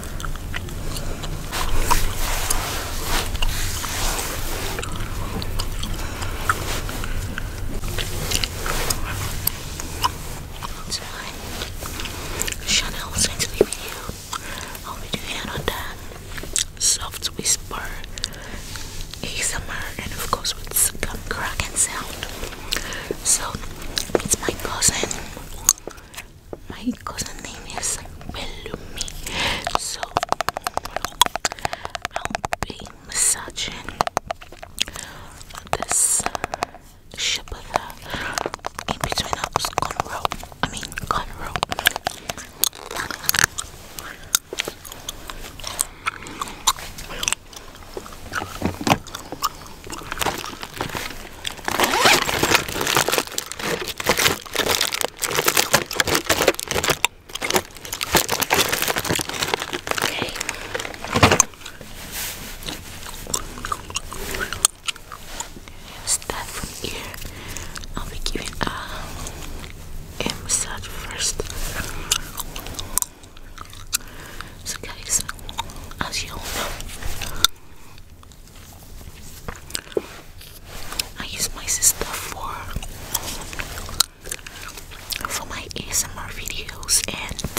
It's my Chanel sensory video. I'll be doing another that soft whisper ASMR and of course with gum crack sound. So it's my cousin my cousin name is Bellumi. So I'll be massaging this ship in between us cornrow. I mean cornrow. Start from here. I'll be giving a uh, massage first. So guys, as you all know, I use my sister for for my ASMR videos and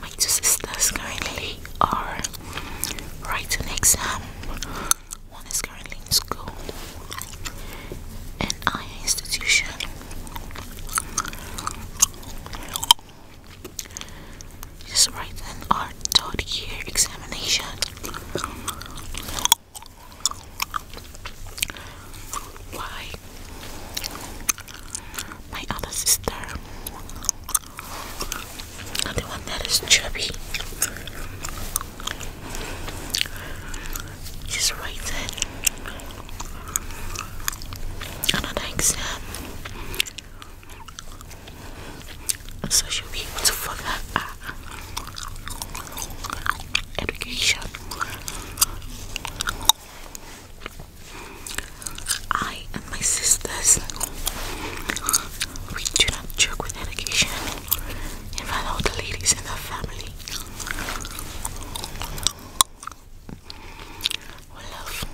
my two sisters currently are writing an exam. One is currently in school and I institution just write an art dot year examination. Why? My other sister, the one that is chubby, just write it and an exam. And to follow uh, education. I and my sisters, we do not joke with education. In fact, all the ladies in our family we love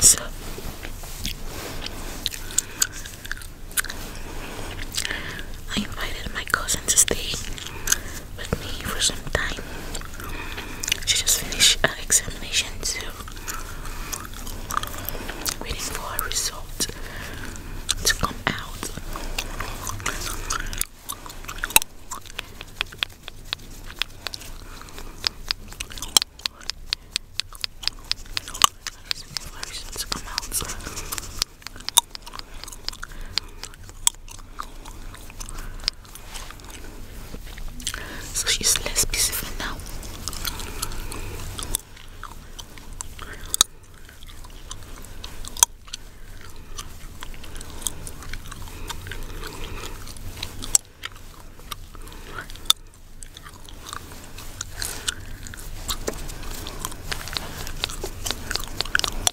So I invited my cousin to stay with me for some time. She just finished her examination, too. waiting for her result to come out. To come out so she's less specific now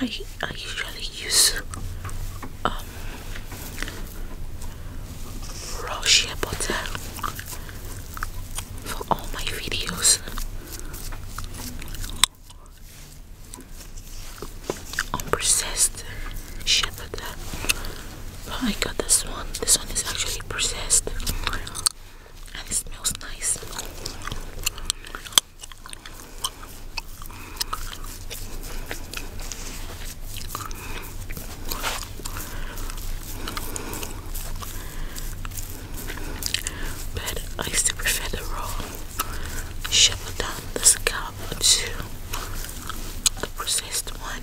I, I usually use um, raw shea butter for all my videos. Unprocessed shea butter. But I got this one. This one is actually processed and it smells nice. But I used to prefer the raw. Shovel down the scalp to a processed one.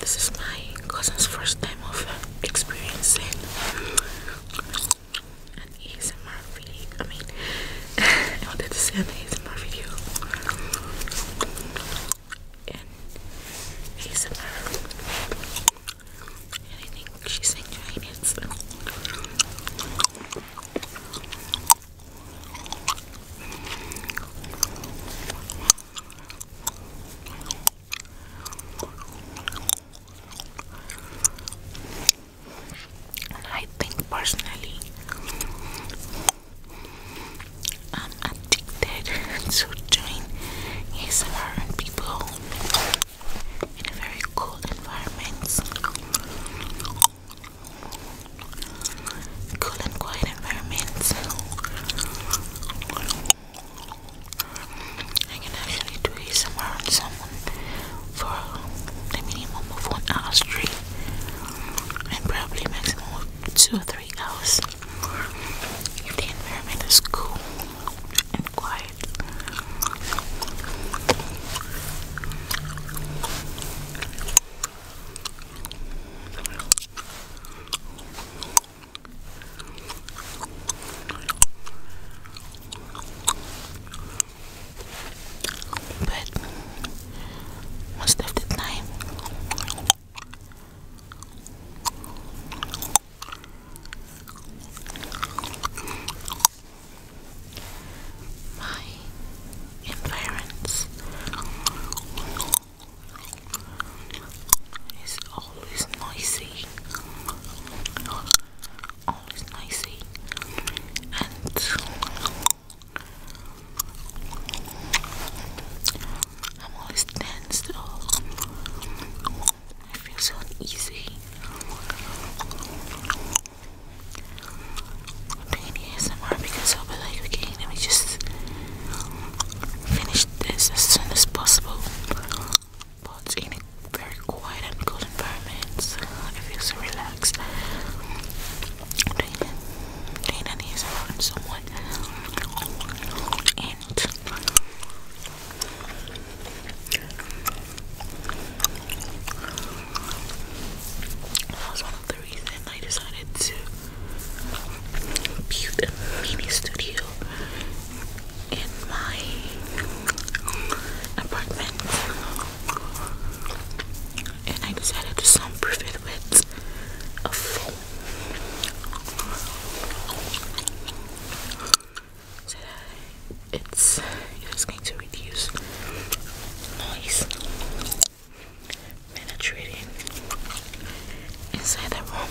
This is my cousin's first time of experiencing an ASMR I mean, I wanted to say an ASMR in ASMR. And I think she's enjoying it. And I think personally, I'm addicted to doing ASMR and people in a very cool environment. Cool and quiet environment. I can actually do ASMR on someone for the minimum of one hour straight and probably maximum of two three hours. If the environment is cool and quiet. But most of the time my environs is always noisy, always noisy, and I'm always tense though. I feel so uneasy. 20 ASMR because I'll be like, okay, let me just finish this as soon as possible. But in a very quiet and cool environment, I feel so relaxed. Dana, needs help from someone, and that was one of the reasons I decided to build a mini studio in my apartment and I decided to soundproof it with a foam. So that it's it is going to reduce noise penetrating inside the room.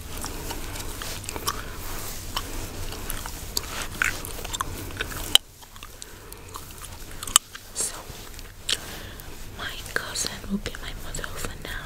So, my cousin will be my mother for now.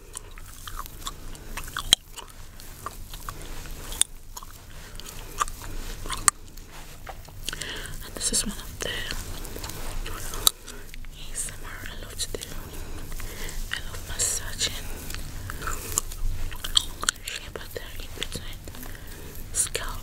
And this is one of the ASMR I love to do. I love massaging. Shea butter in between scalp.